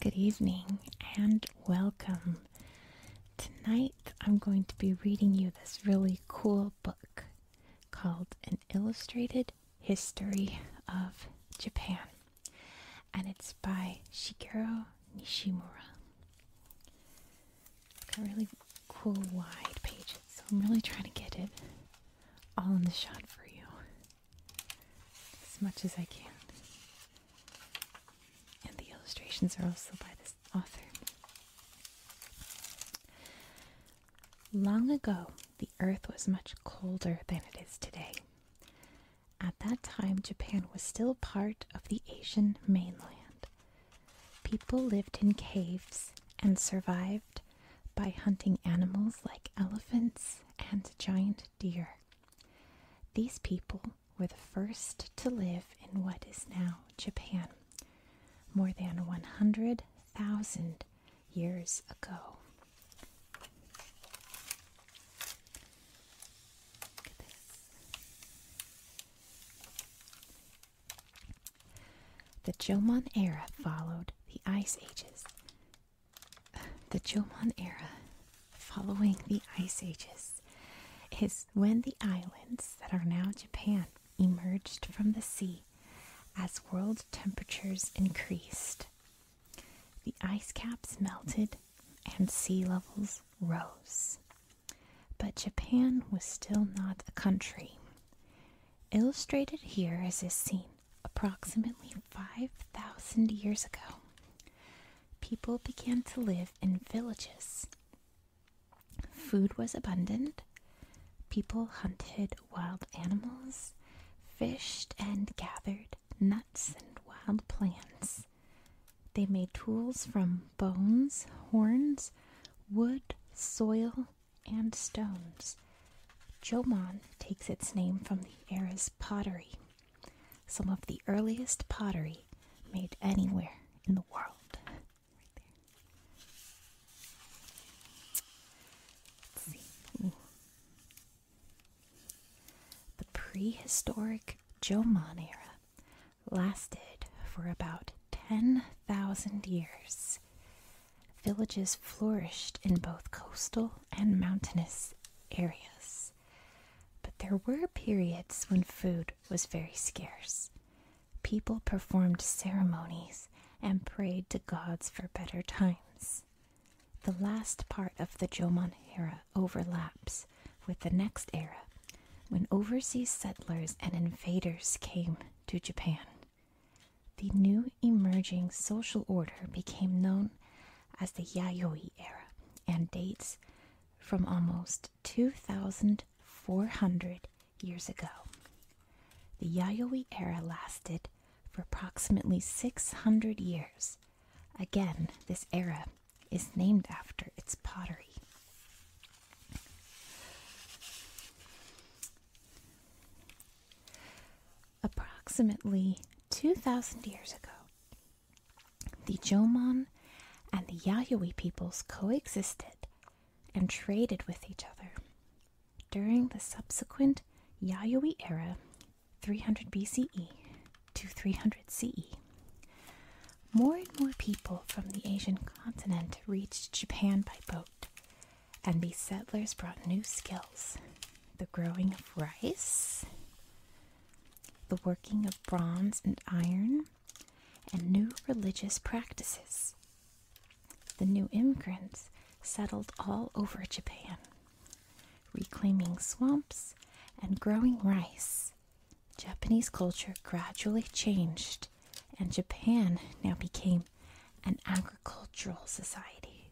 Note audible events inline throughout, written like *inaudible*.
Good evening and welcome. Tonight I'm going to be reading you this really cool book called An Illustrated History of Japan. And it's by Shigeru Nishimura. Got really cool wide pages, so I'm really trying to get it all in the shot for you as much as I can. And the illustrations are also by this author. Long ago, the earth was much colder than it is today. At that time, Japan was still part of the Asian mainland. People lived in caves and survived by hunting animals like elephants and giant deer. These people were the first to live in what is now Japan more than 100,000 years ago. The Jomon era followed the Ice Ages. The Jomon era following the Ice Ages is when the islands that are now Japan emerged from the sea as world temperatures increased. The ice caps melted and sea levels rose. But Japan was still not a country. Illustrated here is this scene approximately 5,000 years ago. People began to live in villages. Food was abundant. People hunted wild animals, fished, and gathered nuts and wild plants. They made tools from bones, horns, wood, soil, and stones. Jomon takes its name from the era's pottery, some of the earliest pottery made anywhere in the world. Right there. The prehistoric Jomon era lasted for about 10,000 years. Villages flourished in both coastal and mountainous areas. But there were periods when food was very scarce. People performed ceremonies and prayed to gods for better times. The last part of the Jomon era overlaps with the next era when overseas settlers and invaders came to Japan. The new emerging social order became known as the Yayoi era and dates from almost 2,400 years ago. The Yayoi era lasted for approximately 600 years. Again, this era is named after its pottery. Approximately 2,000 years ago, the Jomon and the Yayoi peoples coexisted and traded with each other. During the subsequent Yayoi era, 300 BCE, to 300 CE. More and more people from the Asian continent reached Japan by boat, and these settlers brought new skills the growing of rice, the working of bronze and iron, and new religious practices. The new immigrants settled all over Japan, reclaiming swamps and growing rice Japanese culture gradually changed, and Japan now became an agricultural society.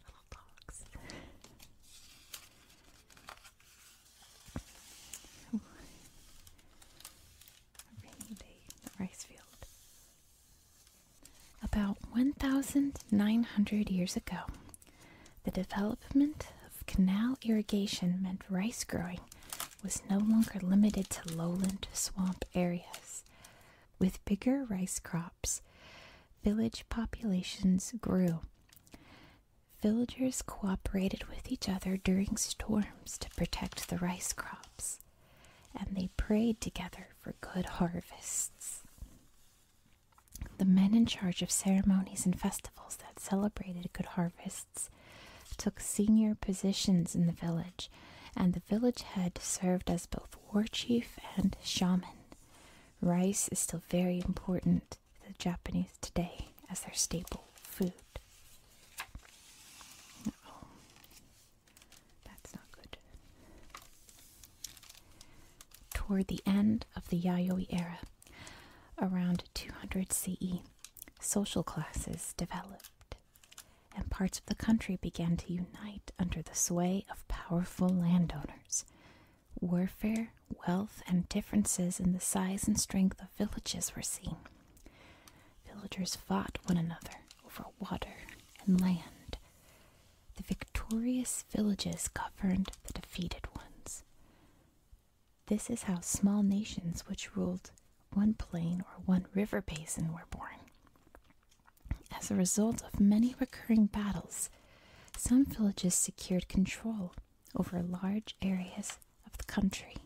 Little dogs. rainy day in the rice field. About 1,900 years ago, the development of canal irrigation meant rice growing was no longer limited to lowland swamp areas. With bigger rice crops, village populations grew. Villagers cooperated with each other during storms to protect the rice crops, and they prayed together for good harvests. The men in charge of ceremonies and festivals that celebrated good harvests took senior positions in the village, and the village head served as both war chief and shaman. Rice is still very important to the Japanese today as their staple food. Uh that's not good toward the end of the Yayoi era, around 200 CE, social classes developed, and parts of the country began to unite under the sway of powerful landowners. Warfare, wealth, and differences in the size and strength of villages were seen. Villagers fought one another over water and land. The victorious villages governed the defeated ones. This is how small nations which ruled one plain or one river basin were born. As a result of many recurring battles, some villages secured control over large areas of the country.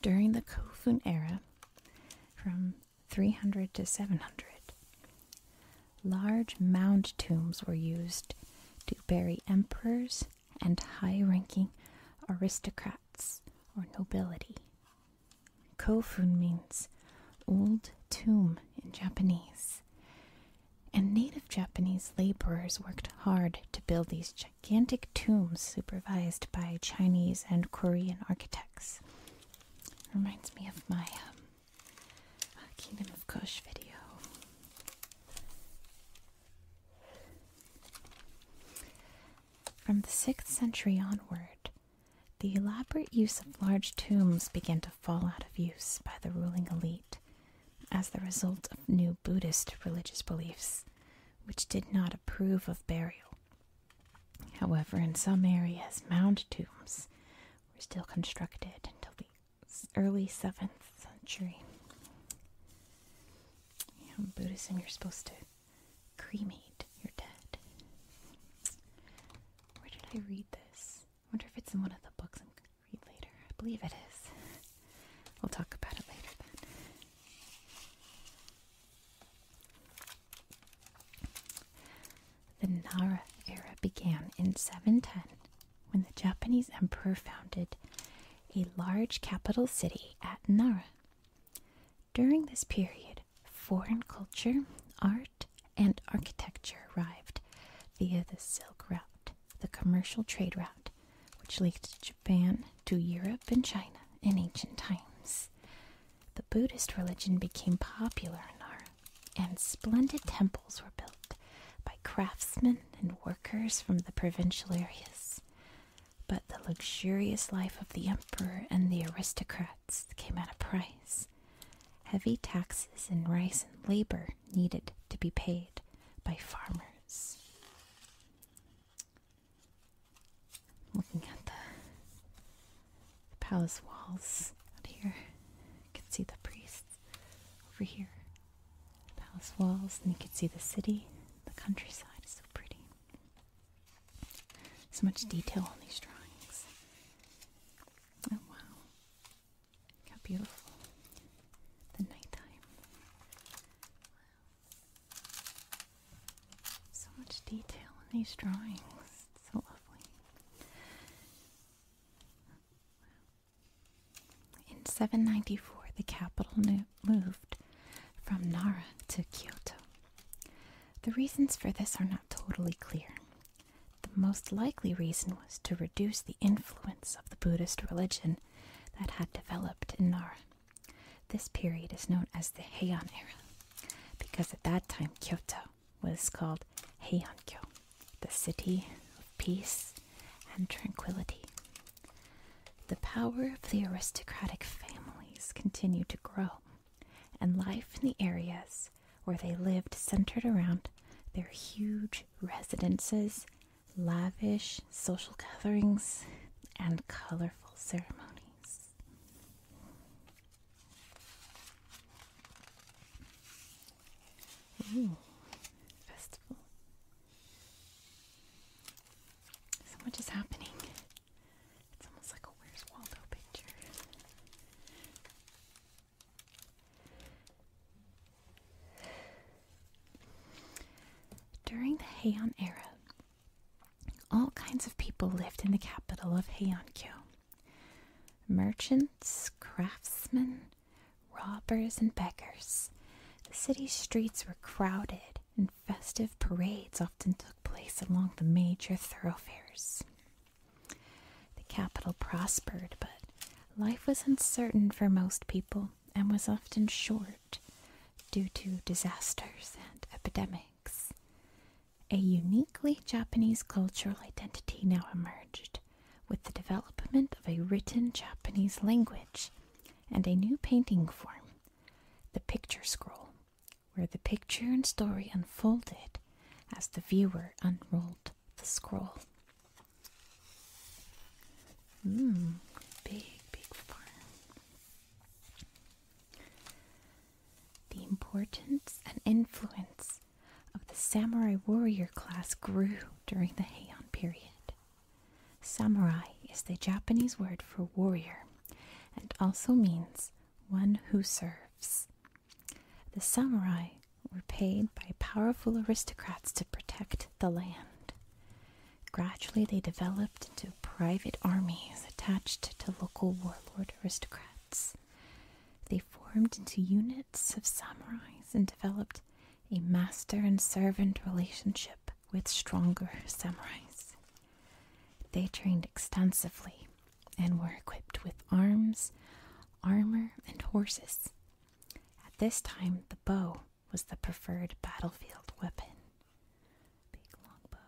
During the Kofun era, from 300 to 700, large mound tombs were used to bury emperors and high ranking aristocrats or nobility. Kofun means old tomb in Japanese, and native Japanese laborers worked hard to build these gigantic tombs supervised by Chinese and Korean architects. Reminds me of my um, uh, Kingdom of Kush video. From the 6th century onward, the elaborate use of large tombs began to fall out of use by the ruling elite, as the result of new Buddhist religious beliefs, which did not approve of burial. However, in some areas, mound tombs were still constructed until the early 7th century. You know, in Buddhism, you're supposed to cremate your dead. Where did I read this? I wonder if it's in one of the books read later. I believe it is. We'll talk about it later then. The Nara era began in 710 when the Japanese emperor founded a large capital city at Nara. During this period, foreign culture, art, and architecture arrived via the Silk Route the commercial trade route which linked Japan, to Europe, and China in ancient times. The Buddhist religion became popular in Nara, and splendid temples were built by craftsmen and workers from the provincial areas. But the luxurious life of the emperor and the aristocrats came at a price. Heavy taxes and rice and labor needed to be paid by farmers. Looking at the, palace walls out here, you can see the priests over here. The palace walls, and you can see the city, the countryside is so pretty. So much detail on these drawings. Oh wow how beautiful. The nighttime. Wow. So much detail in these drawings. so lovely. In 794, the capital moved from Nara to Kyoto. The reasons for this are not totally clear. The most likely reason was to reduce the influence of the Buddhist religion that had developed in Nara. This period is known as the Heian era because at that time Kyoto was called Heiankyo, the city of peace and tranquility. The power of the aristocratic families continued to grow, and life in the areas where they lived centered around their huge residences lavish social gatherings and colorful ceremonies. Ooh, festival. So much is happening. It's almost like a Where's Waldo picture. During the Heian era, all kinds of people lived in the capital of Heiankyo. Merchants, craftsmen, robbers, and beggars. The city's streets were crowded, and festive parades often took place along the major thoroughfares. The capital prospered, but life was uncertain for most people and was often short due to disasters and epidemics. A uniquely Japanese cultural identity now emerged with the development of a written Japanese language and a new painting form, the picture scroll, where the picture and story unfolded as the viewer unrolled the scroll. Mmm, big, big The importance and influence of the samurai warrior class grew during the Heian period. Samurai is the Japanese word for warrior and also means one who serves. The samurai were paid by powerful aristocrats to protect the land. Gradually, they developed into private armies attached to local warlord aristocrats. They formed into units of samurais and developed a master and servant relationship with stronger samurais. They trained extensively and were equipped with arms, armor, and horses, at this time, the bow was the preferred battlefield weapon. Big long bow.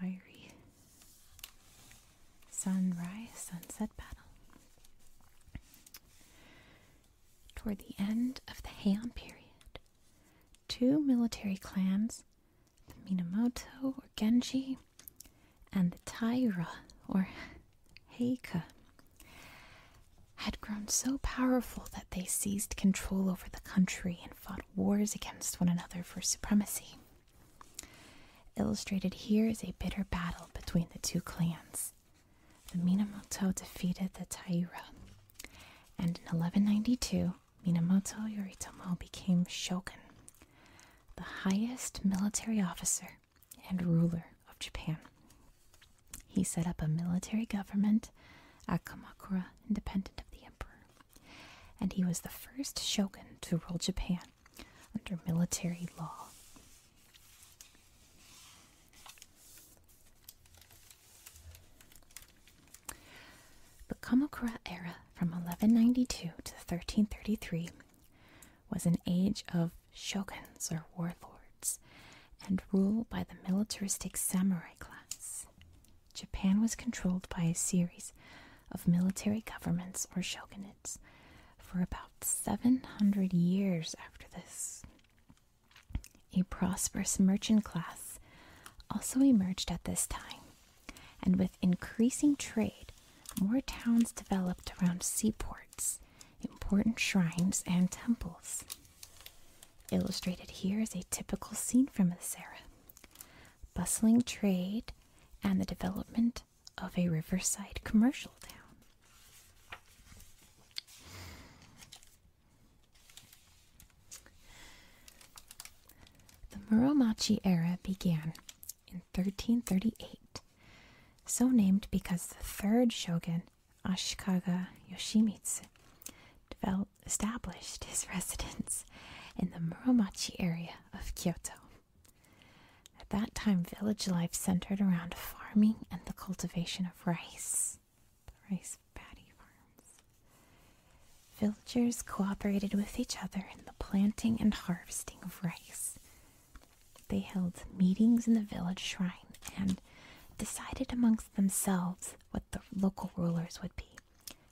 Fiery sunrise, sunset battle. Toward the end of the Heian period, two military clans the Minamoto or Genji, and the Taira or Heika had grown so powerful that they seized control over the country and fought wars against one another for supremacy. Illustrated here is a bitter battle between the two clans. The Minamoto defeated the Taira, and in 1192, Minamoto Yoritomo became shogun, the highest military officer and ruler of Japan. He set up a military government at Kamakura, independent of the emperor, and he was the first shogun to rule Japan under military law. The Kamakura era from 1192 to 1333 was an age of shoguns or warlords and rule by the militaristic samurai class. Japan was controlled by a series of military governments or shogunates for about 700 years after this. A prosperous merchant class also emerged at this time and with increasing trade, more towns developed around seaports, important shrines, and temples. Illustrated here is a typical scene from this era bustling trade and the development of a riverside commercial town. The Muromachi era began in 1338, so named because the third shogun, Ashikaga Yoshimitsu, established his *laughs* residence in the Muromachi area of Kyoto. At that time, village life centered around farming and the cultivation of rice, the rice paddy farms. Villagers cooperated with each other in the planting and harvesting of rice. They held meetings in the village shrine and decided amongst themselves what the local rulers would be,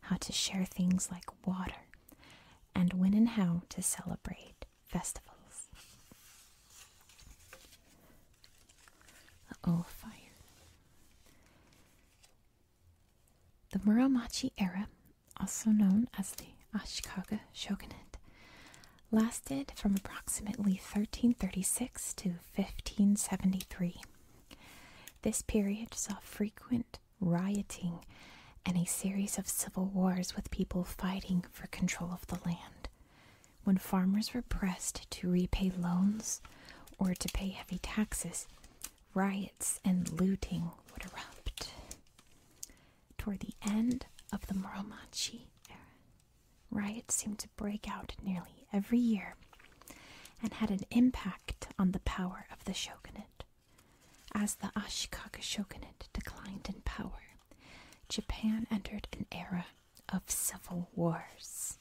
how to share things like water, and when and how to celebrate festivals. oh, fire. The Muromachi era, also known as the Ashikaga shogunate, lasted from approximately 1336 to 1573. This period saw frequent rioting and a series of civil wars with people fighting for control of the land. When farmers were pressed to repay loans or to pay heavy taxes, riots and looting would erupt. Toward the end of the Muromachi era, riots seemed to break out nearly every year and had an impact on the power of the shogunate. As the Ashikaga shogunate declined in power, Japan entered an era of civil wars.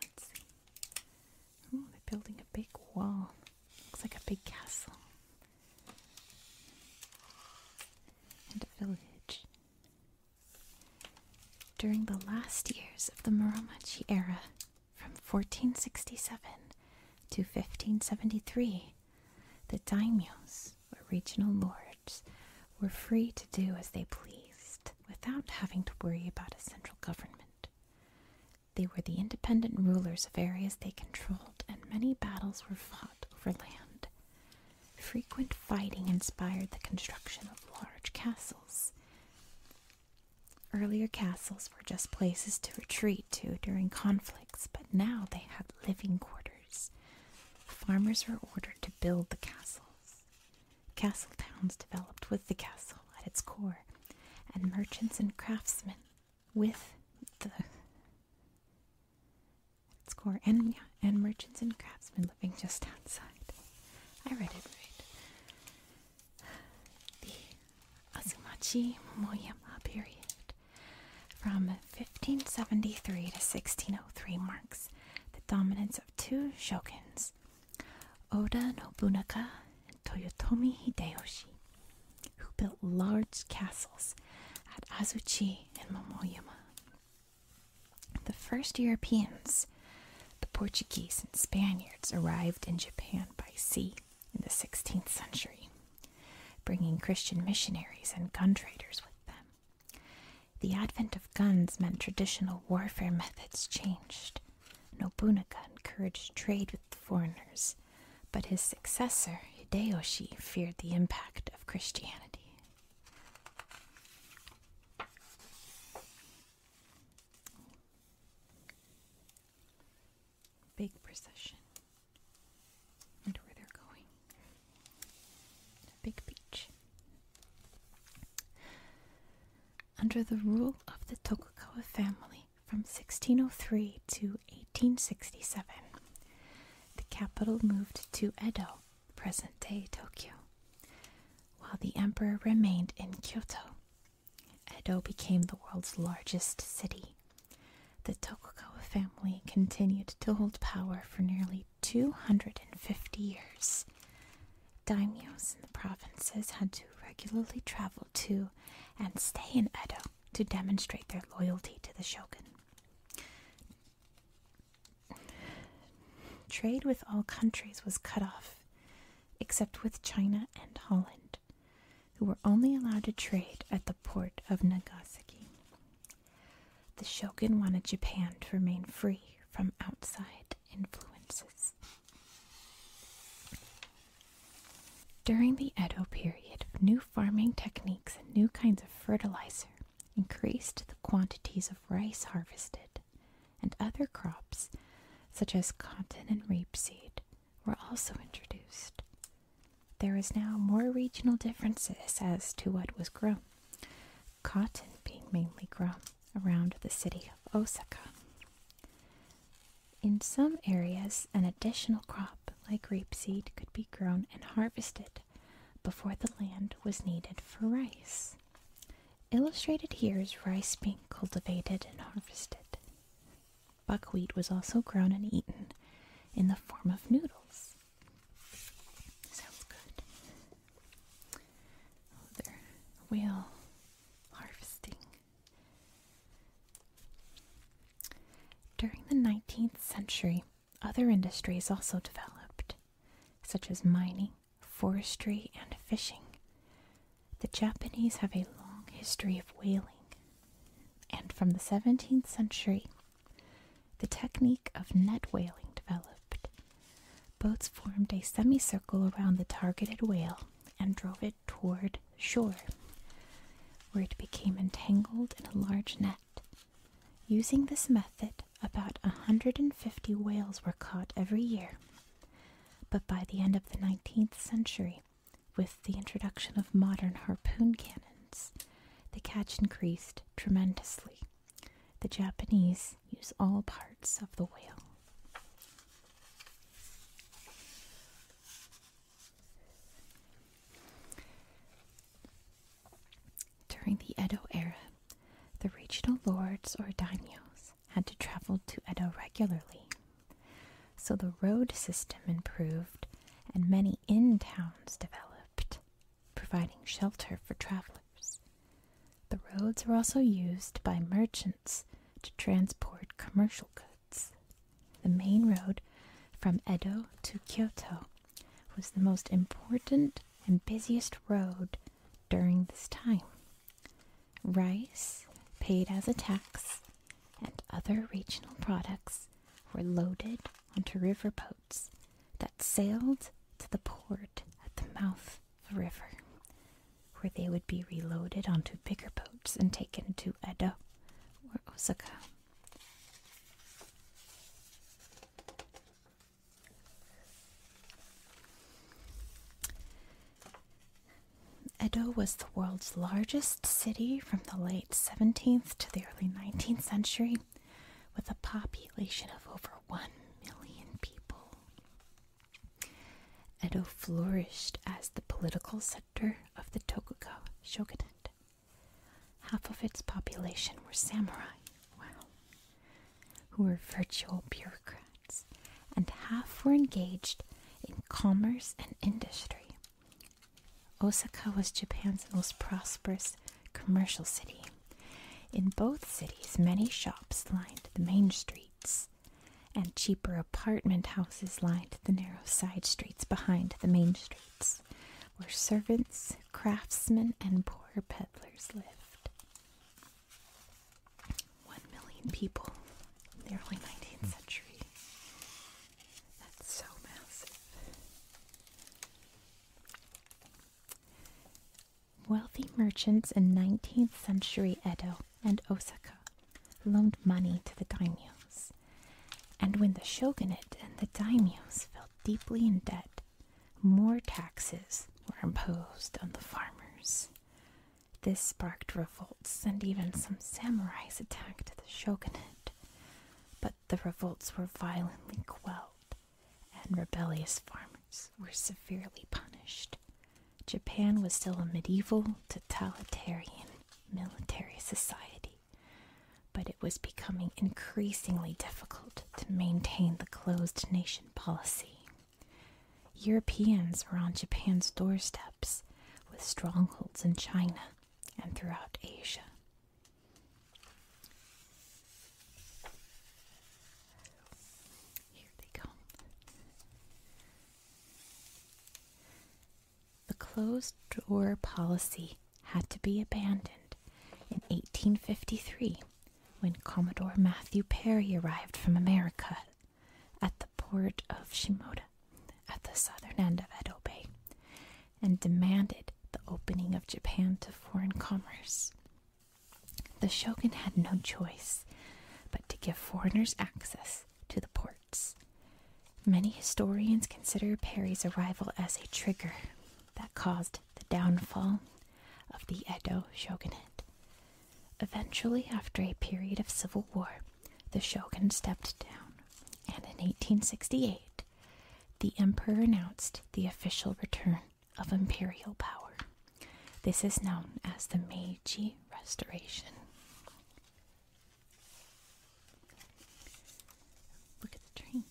Let's see. Oh, they're building a big wall. Looks like a big castle. And a village. During the last years of the Muromachi era, from 1467 to 1573, the daimyos, or regional lords, were free to do as they pleased without having to worry about a central government. They were the independent rulers of areas they controlled, and many battles were fought over land. Frequent fighting inspired the construction of large castles. Earlier castles were just places to retreat to during conflicts, but now they had living quarters. Farmers were ordered to build the castles. Castle towns developed with the castle at its core, and merchants and craftsmen with the its core, and yeah, and merchants and craftsmen living just outside. I read it right. The Azumachi Momoyama period, from 1573 to 1603, marks the dominance of two shoguns, Oda Nobunaga and Toyotomi Hideyoshi, who built large castles at Azuchi and Momoyama. The first Europeans, the Portuguese and Spaniards, arrived in Japan by sea in the 16th century, bringing Christian missionaries and gun traders with them. The advent of guns meant traditional warfare methods changed. Nobunaga encouraged trade with the foreigners, but his successor, Hideyoshi, feared the impact of Christianity. Big procession. I where they're going. big beach under the rule of the Tokugawa family from 1603 to 1867. The capital moved to Edo, present day Tokyo, while the emperor remained in Kyoto. Edo became the world's largest city. The Tokugawa family continued to hold power for nearly 250 years. Daimyos in the provinces had to regularly travel to and stay in Edo to demonstrate their loyalty to the shogun. Trade with all countries was cut off, except with China and Holland, who were only allowed to trade at the port of Nagasaki. The shogun wanted Japan to remain free from outside influences. During the Edo period, new farming techniques and new kinds of fertilizer increased the quantities of rice harvested, and other crops, such as cotton and rapeseed, were also introduced. There is now more regional differences as to what was grown, cotton being mainly grown around the city of Osaka. In some areas, an additional crop like rapeseed could be grown and harvested before the land was needed for rice. Illustrated here is rice being cultivated and harvested. Buckwheat was also grown and eaten in the form of noodles. Sounds good. Oh, whale harvesting. During the 19th century, other industries also developed, such as mining, forestry, and fishing. The Japanese have a long history of whaling, and from the 17th century, the technique of net whaling developed. Boats formed a semicircle around the targeted whale and drove it toward shore, where it became entangled in a large net. Using this method, about 150 whales were caught every year. But by the end of the 19th century, with the introduction of modern harpoon cannons, the catch increased tremendously. The Japanese use all parts of the whale. During the Edo era, the regional lords or daimyos had to travel to Edo regularly. So the road system improved and many in towns developed providing shelter for travelers. The roads were also used by merchants to transport commercial goods. The main road from Edo to Kyoto was the most important and busiest road during this time. Rice, paid as a tax, and other regional products were loaded onto river that sailed to the port at the mouth of the river, where they would be reloaded onto bigger boats and taken to Edo or Osaka. Edo was the world's largest city from the late 17th to the early 19th century, with a population of over 1 million people. Edo flourished as the political center of the Tokugawa shogunate. Half of its population were samurai, who were virtual bureaucrats, and half were engaged in commerce and industry. Osaka was Japan's most prosperous commercial city. In both cities, many shops lined the main streets, and cheaper apartment houses lined the narrow side streets behind the main streets, where servants, craftsmen, and poor peddlers lived. One million people in the early 19th century. That's so massive. Wealthy merchants in 19th century Edo and Osaka loaned money to the daimyos. And when the shogunate and the daimyos fell deeply in debt, more taxes were imposed on the farmers. This sparked revolts, and even some samurais attacked the shogunate. But the revolts were violently quelled and rebellious farmers were severely punished. Japan was still a medieval, totalitarian military society, but it was becoming increasingly difficult to maintain the closed nation policy. Europeans were on Japan's doorsteps with strongholds in China and throughout Asia. The closed door policy had to be abandoned in 1853 when Commodore Matthew Perry arrived from America at the port of Shimoda at the southern end of Edo Bay and demanded the opening of Japan to foreign commerce. The shogun had no choice but to give foreigners access to the ports. Many historians consider Perry's arrival as a trigger that caused the downfall of the Edo shogunate. Eventually, after a period of civil war, the shogun stepped down, and in 1868, the emperor announced the official return of imperial power. This is known as the Meiji Restoration. Look at the train.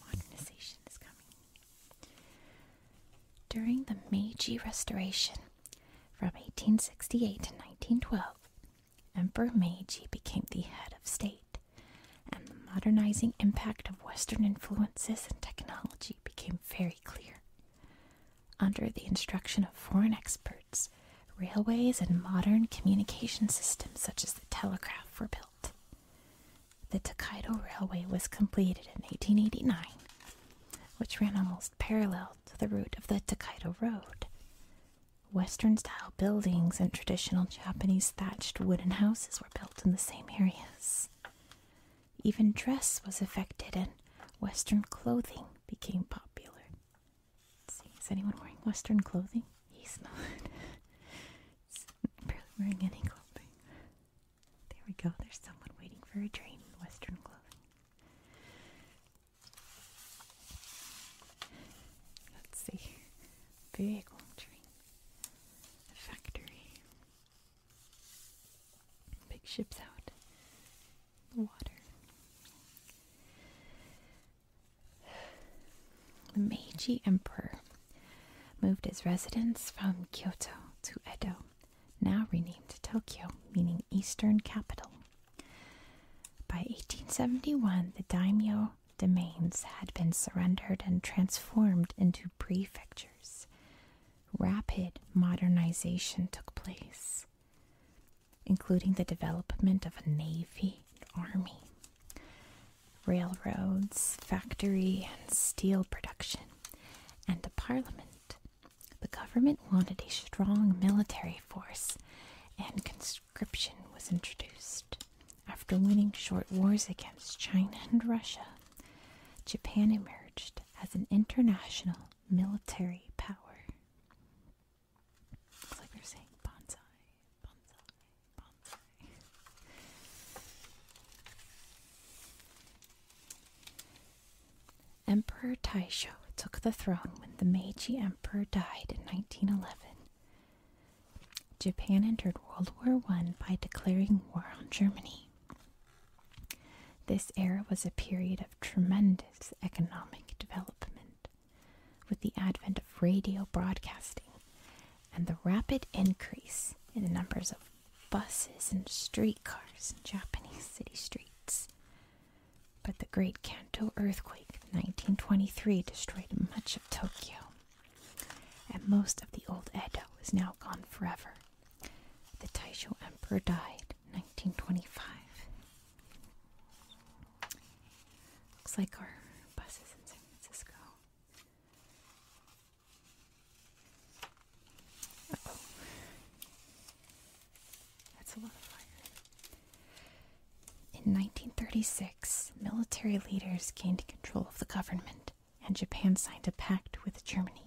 Modernization is coming. During the Meiji Restoration, from 1868 to 1912, Emperor Meiji became the head of state and the modernizing impact of Western influences and technology became very clear. Under the instruction of foreign experts, railways and modern communication systems such as the telegraph were built. The Tokaido Railway was completed in 1889, which ran almost parallel to the route of the Tokaido Road. Western style buildings and traditional Japanese thatched wooden houses were built in the same areas. Even dress was affected, and Western clothing became popular. see, is anyone wearing Western clothing? He's not. *laughs* He's barely wearing any clothing. There we go, there's someone waiting for a train in Western clothing. Let's see. Big long train. factory. Big ships out. The water. The Meiji Emperor moved his residence from Kyoto to Edo, now renamed Tokyo, meaning Eastern Capital. By 1871, the daimyo domains had been surrendered and transformed into prefectures. Rapid modernization took place, including the development of a navy army, railroads, factory and steel production, and a parliament. The government wanted a strong military force and conscription was introduced. After winning short wars against China and Russia, Japan emerged as an international military power. It's like they're saying bonsai, bonsai, bonsai. Emperor Taisho took the throne when the Meiji Emperor died in 1911 Japan entered World War I by declaring war on Germany. This era was a period of tremendous economic development with the advent of radio broadcasting and the rapid increase in the numbers of buses and streetcars in Japanese city streets. But the Great Kanto earthquake of 1923 destroyed much Tokyo, and most of the old Edo is now gone forever. The Taisho Emperor died in 1925. Looks like our bus in San Francisco. That's a lot of fire. In 1936, military leaders gained control of the government, and Japan signed a pact with Germany.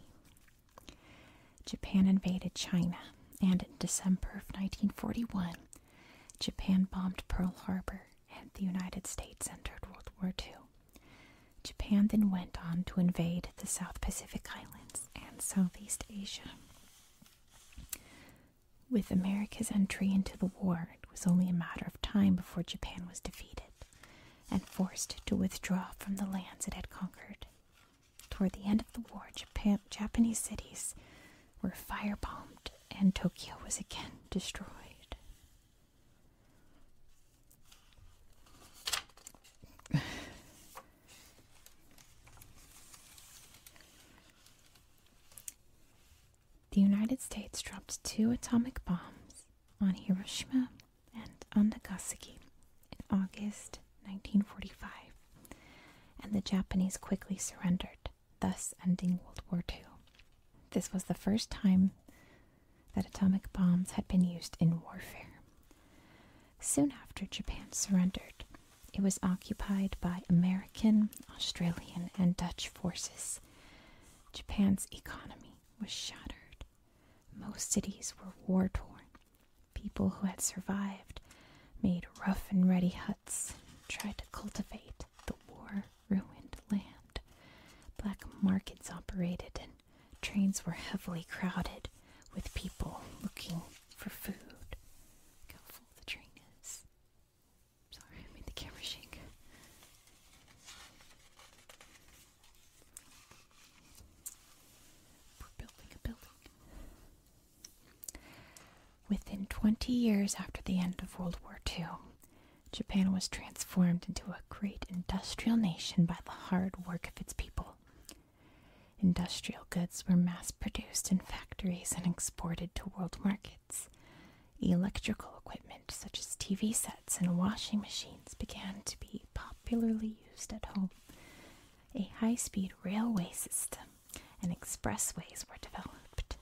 Japan invaded China, and in December of 1941, Japan bombed Pearl Harbor, and the United States entered World War II. Japan then went on to invade the South Pacific Islands and Southeast Asia. With America's entry into the war, it was only a matter of time before Japan was defeated and forced to withdraw from the lands it had conquered. Toward the end of the war, Japanese cities were firebombed and Tokyo was again destroyed. The United States dropped two atomic bombs on Hiroshima and on Nagasaki in August 1945, and the Japanese quickly surrendered, thus ending World War II. This was the first time that atomic bombs had been used in warfare. Soon after, Japan surrendered, it was occupied by American, Australian, and Dutch forces. Japan's economy was shattered. Most cities were war torn. People who had survived made rough and ready huts, tried to cultivate the war ruined land. Black markets operated, and trains were heavily crowded with people looking for food. Look the train is. Sorry, made the camera shake. Within 20 years after the end of World War II, Japan was transformed into a great industrial nation by the hard work of its people. Industrial goods were mass produced in factories and exported to world markets. Electrical equipment such as TV sets and washing machines began to be popularly used at home. A high speed railway system and expressways were developed.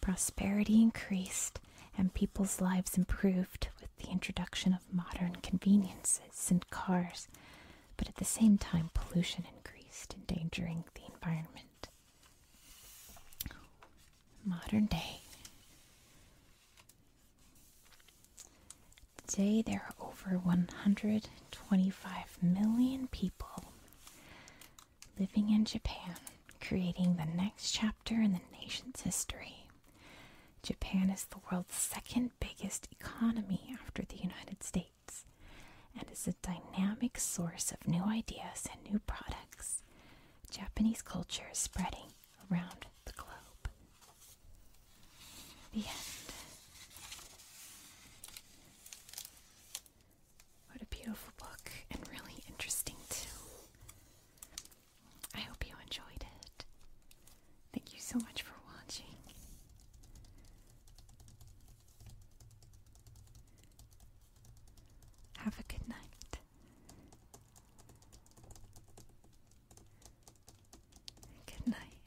Prosperity increased and people's lives improved with the introduction of modern conveniences and cars, but at the same time, pollution increased, endangering the environment. Modern day. Today there are over 125 million people living in Japan, creating the next chapter in the nation's history. Japan is the world's second biggest economy after the United States and is a dynamic source of new ideas and new products. Japanese culture is spreading around the globe. The end. What a beautiful book and really interesting too. I hope you enjoyed it. Thank you so much for watching. Have a good night. Good night.